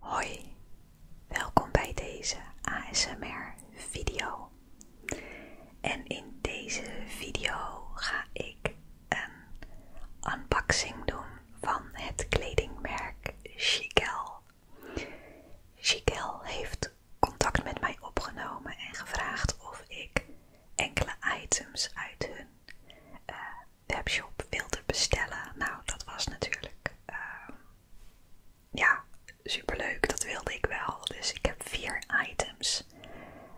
Hoi, welkom bij deze ASMR video. En in deze video ga ik een unboxing doen van het kledingmerk Chicel. Chicel heeft contact met mij opgenomen en gevraagd of ik enkele items uit hun eh, webshop wilde bestellen. Nou, dat was natuurlijk ehm, ja, superleuk. Dat wilde ik wel. Dus ik heb vier items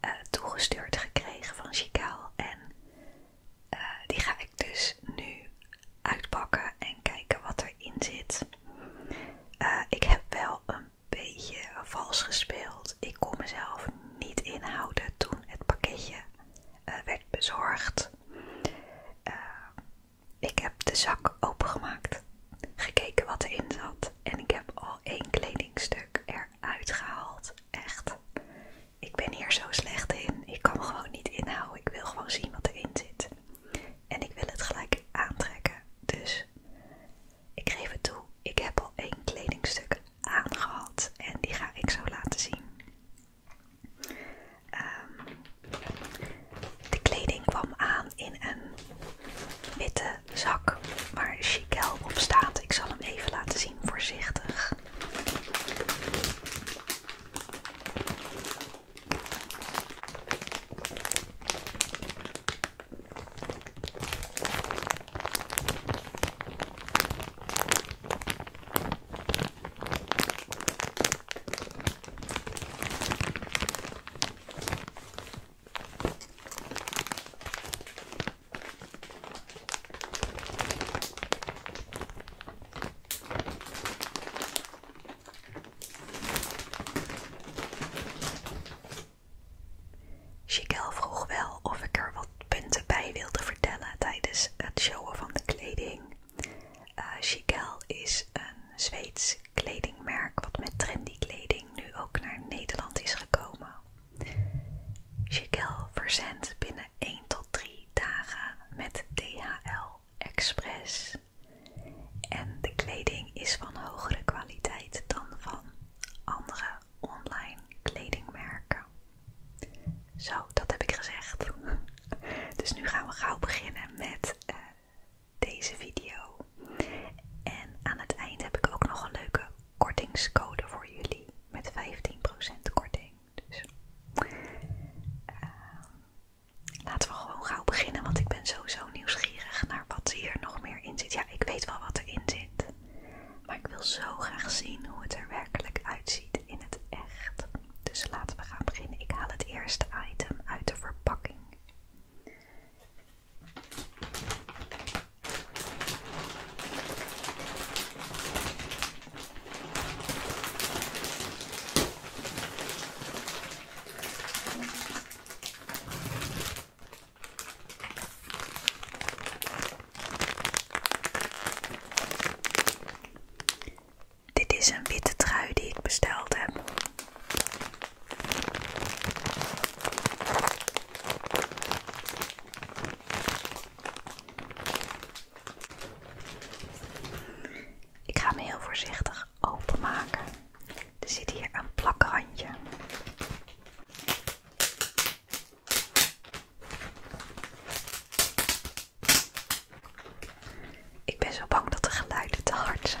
eh, toegestuurd gekregen van Chicaal. En eh, die ga ik dus nu uitpakken en kijken wat erin zit. Eh, ik heb wel een beetje vals gespeeld. Ik kon mezelf niet inhouden toen het pakketje uh, werd bezorgd. Eh, ik heb de zak opengemaakt, gekeken wat erin zat en ik heb al één kledingstuk eruit gehaald. Echt, ik ben hier zo slecht in. Ik kan gewoon niet inhouden. Ik wil gewoon zien wat erin zit. En ik wil het gelijk aantrekken. Dus ik geef het toe, ik heb al één kledingstuk aangehad en die ga ik zo laten zien de kleding kwam aan in een witte zak waar Chiquel op staat. Ik zal hem even laten zien, voorzichtig. Chiquel vroeg wel of ik er wat punten bij wilde vertellen tijdens het showen van de kleding. Uh, eh, Chiquel is een Zweeds kledingmerk wat met trendy kleding nu ook naar Nederland is gekomen. Chiquel verzendt binnen 1 tot 3 dagen met DHL Express. En de kleding is van hogere kwaliteit dan van andere online kledingmerken. Zo, dat heb ik gezegd. Dus nu gaan we gauw beginnen met eh, deze video. En aan het eind heb ik ook nog een leuke kortingscode voor jullie met 15% korting. Dus ehm, laten we gewoon gauw beginnen, want ik ben sowieso nieuwsgierig naar wat hier nog meer in zit. Ja, ik weet wel wat erin zit, maar ik wil zo graag zien hoe het er werkelijk uitziet in het echt. Dus laten we gaan beginnen. Ik haal het eerste item uit de verpakking. Dit is een witte trui die ik besteld heb. Ik ga hem heel voorzichtig openmaken. Er zit hier een plakrandje. Ik ben zo bang dat de geluiden te hard zijn.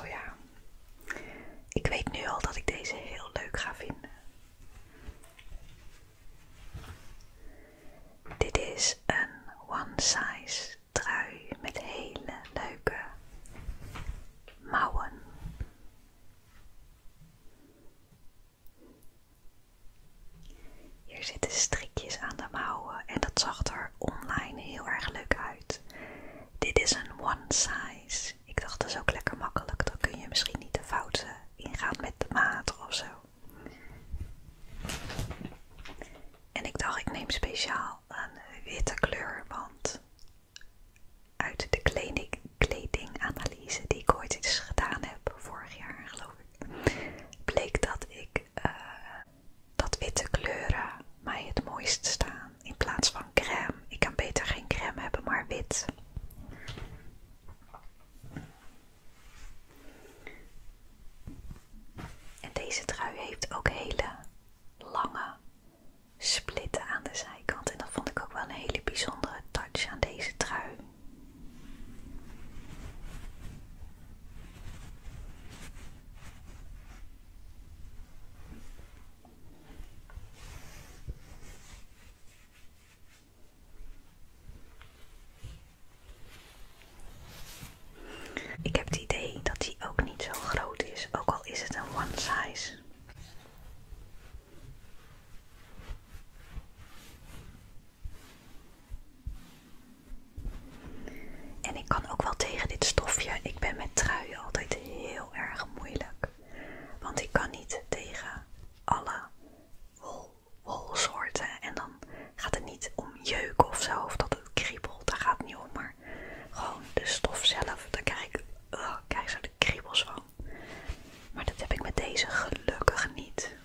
Oh ja, ik weet nu al dat ik deze heel leuk ga vinden. Dit is een one size trui met hele leuke mouwen. Hier zitten strikjes aan de mouwen en dat zag er online heel erg leuk uit. Dit is een one size. Ik dacht dat is ook lekker makkelijk, dan kun je misschien niet de fouten ingaan met de maat ofzo. En ik dacht ik neem speciaal een witte kleur, want uit de kledinganalyse die ik ooit eens gedaan heb, vorig jaar geloof ik bleek dat ik eh, dat witte kleuren mij het mooist staan in plaats van crème. Ik kan beter geen crème hebben, maar wit. En deze trui heeft ook hele lange splitten aan de zijkant. En dat vond ik ook wel een hele bijzondere touch aan deze trui. Ik heb het idee dat die ook niet zo groot is, ook al is het een one size. En ik kan ook wel tegen dit stofje. Ik ben met truien altijd heel erg moeilijk. Want ik kan niet tegen alle wol, wolsoorten. En dan gaat het niet om jeuk of zo. Of dat het kriebelt. Daar gaat het niet om. Maar gewoon de stof zelf. Daar krijg ik, kijk eens, zo de kriebels van. Maar dat heb ik met deze gelukkig niet.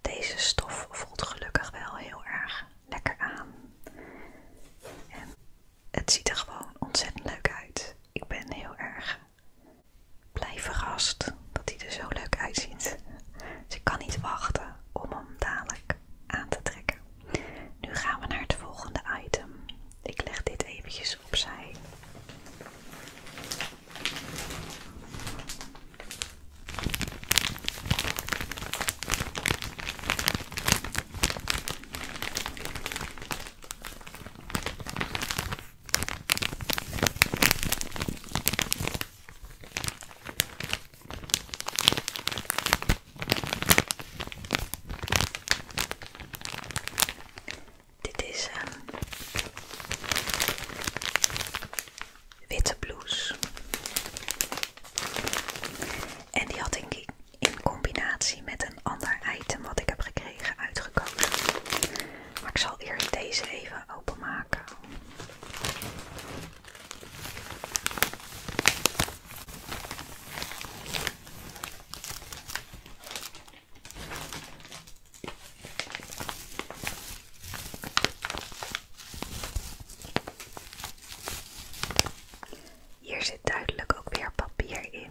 Deze stof voelt gelukkig wel heel erg lekker aan. En het ziet er gewoon ontzettend leuk uit. Ik ben heel erg blij verrast dat hij er zo leuk uitziet. Dus ik kan niet wachten om hem dadelijk aan te trekken. Nu gaan we naar het volgende item. Ik leg dit eventjes opzij. Dit is een ehm, witte blouse. En die had ik in combinatie met een ander item wat ik heb gekregen uitgekozen. Maar ik zal eerst deze even openmaken. Hier zit duidelijk ook weer papier in.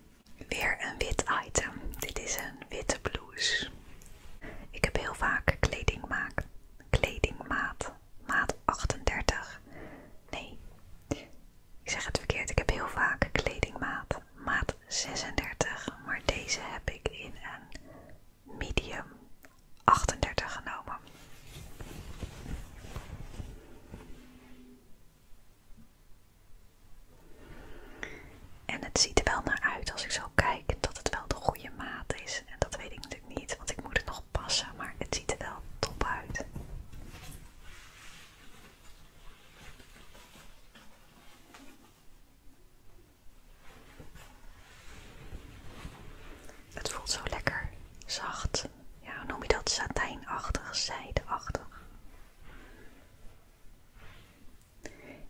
Weer een wit item. Dit is een witte blouse. Ik heb heel vaak kledingmaat. Kledingmaat. Maat 38. Nee. Ik zeg het verkeerd. Ik heb heel vaak kledingmaat. Maat 36. Maar deze heb ik in een medium 38 genomen. En het ziet er wel naar uit als ik zo kijk dat het wel de goede maat is. En dat weet ik natuurlijk niet, want ik moet het nog passen, maar het ziet er wel top uit. Het voelt zo lekker zacht ja, noem je dat, satijnachtig, zijdeachtig.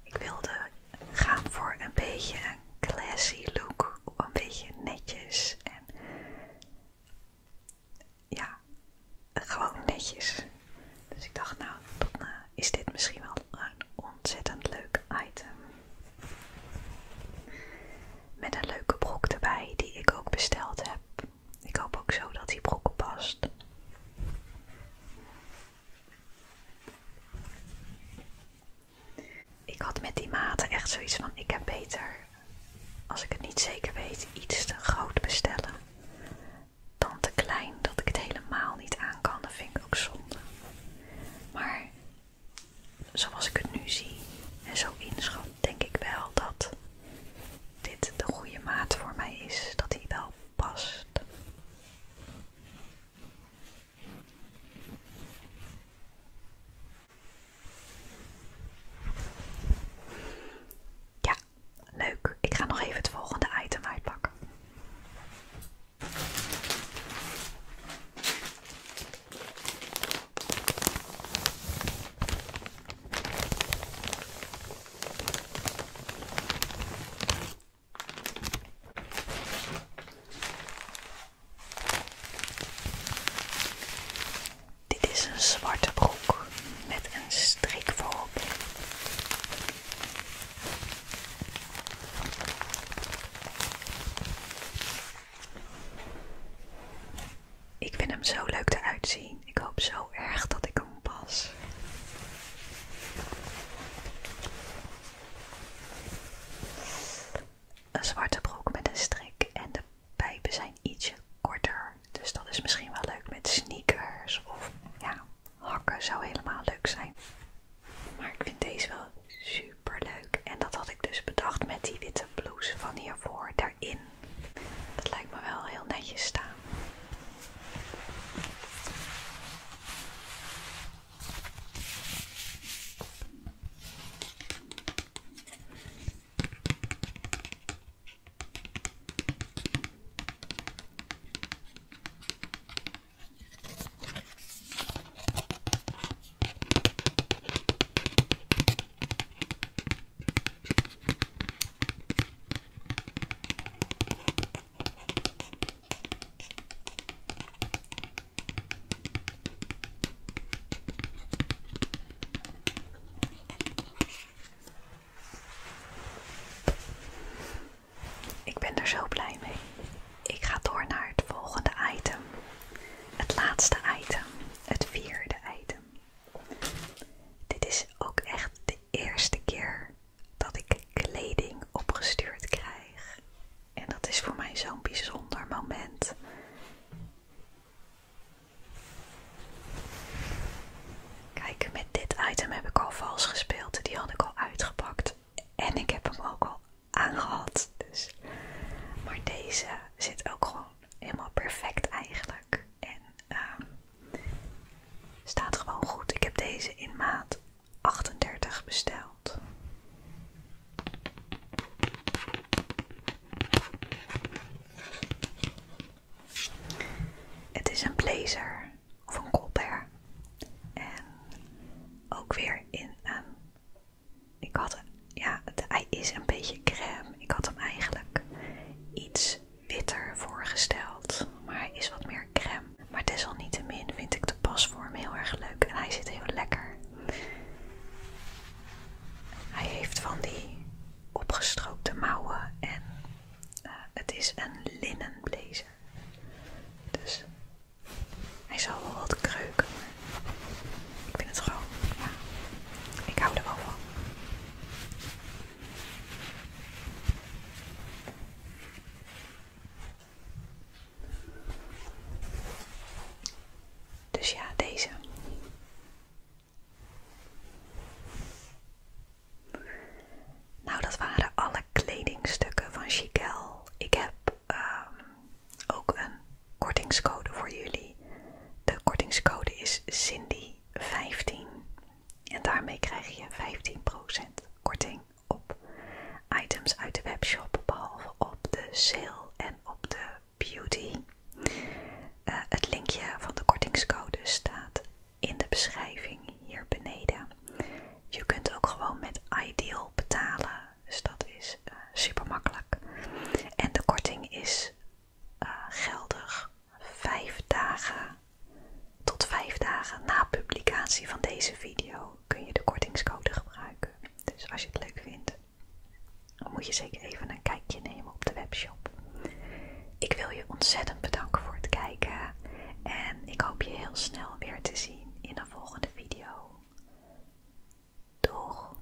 Ik wilde gaan voor een beetje een classy look, een beetje netjes en ja, gewoon netjes. Dus ik dacht, nou, dan eh, is dit misschien wel een ontzettend leuk item. Met een leuke broek erbij die ik ook besteld heb. Ik hoop ook zo dat die broek past. Ik had met die maten echt zoiets van: ik heb beter, als ik het niet zeker weet, iets te groot bestellen dan te klein dat ik het helemaal niet aan kan. Dat vind ik ook zonde. Maar zoals ik het nu zie en zo inschat, denk ik wel dat dit de goede maat voor mij is, dat hij wel past. Ja, leuk. Ik ga nog even het volgende item uitpakken. Dit is een zwarte broek met een strik voorop. Ik vind hem zo leuk eruit uitzien. Ik hoop zo erg dat ik hem pas. Een zwarte broek met een strik en de pijpen zijn ietsje korter. Dus dat is misschien wel leuk met sneakers of ja, hakken zou helemaal leuk zijn. Maar ik vind deze wel super leuk. En dat had ik dus bedacht met die witte blouse van hiervoor. Daarin dat lijkt me wel heel netjes staan. Ik ben er zo blij mee. Ik ga door naar het volgende item. Het laatste item, het vierde item. Dit is ook echt de eerste keer dat ik kleding opgestuurd krijg. En dat is voor mij zo'n bijzonder moment. Kijk, met dit item heb ik al vals gespeeld. Die had ik al uitgepakt. En ik heb hem ook al aangehad. Dus, maar deze zit ook gewoon helemaal perfect eigenlijk en ehm, staat gewoon goed. Ik heb deze in maat 38 besteld. Het is een blazer of een colbert en ook weer in een. Ik had ja, hij is een beetje crème. Ik had hem eigenlijk iets witter voorgesteld, maar hij is wat meer crème. Maar desalniettemin vind ik de pasvorm heel erg leuk en hij zit heel lekker. Hij heeft van die opgestroopte mouwen en eh, het is een linnen blazer. Dus hij zal wel wat kreuken, maar ik vind het gewoon, ik hou er wel van. Dus ja, deze. Nou, dat waren alle kledingstukken van Chiquel. Ik heb ehm, ook een kortingscode voor jullie. De kortingscode is Cindy. 15. En daarmee krijg je 15% korting op items uit de webshop, behalve op de sale en op de beauty. Eh, het linkje van de kortingscode staat in de beschrijving hier beneden. Je kunt ook gewoon met Ideal betalen, dus dat is eh, super makkelijk. En de korting is eh, geldig vijf dagen tot vijf dagen na publicatie van deze video kun je de kortingscode gebruiken. Dus als je het leuk vindt, dan moet je zeker even een kijkje nemen op de webshop. Ik wil je ontzettend bedanken voor het kijken en ik hoop je heel snel weer te zien in een volgende video. Doeg!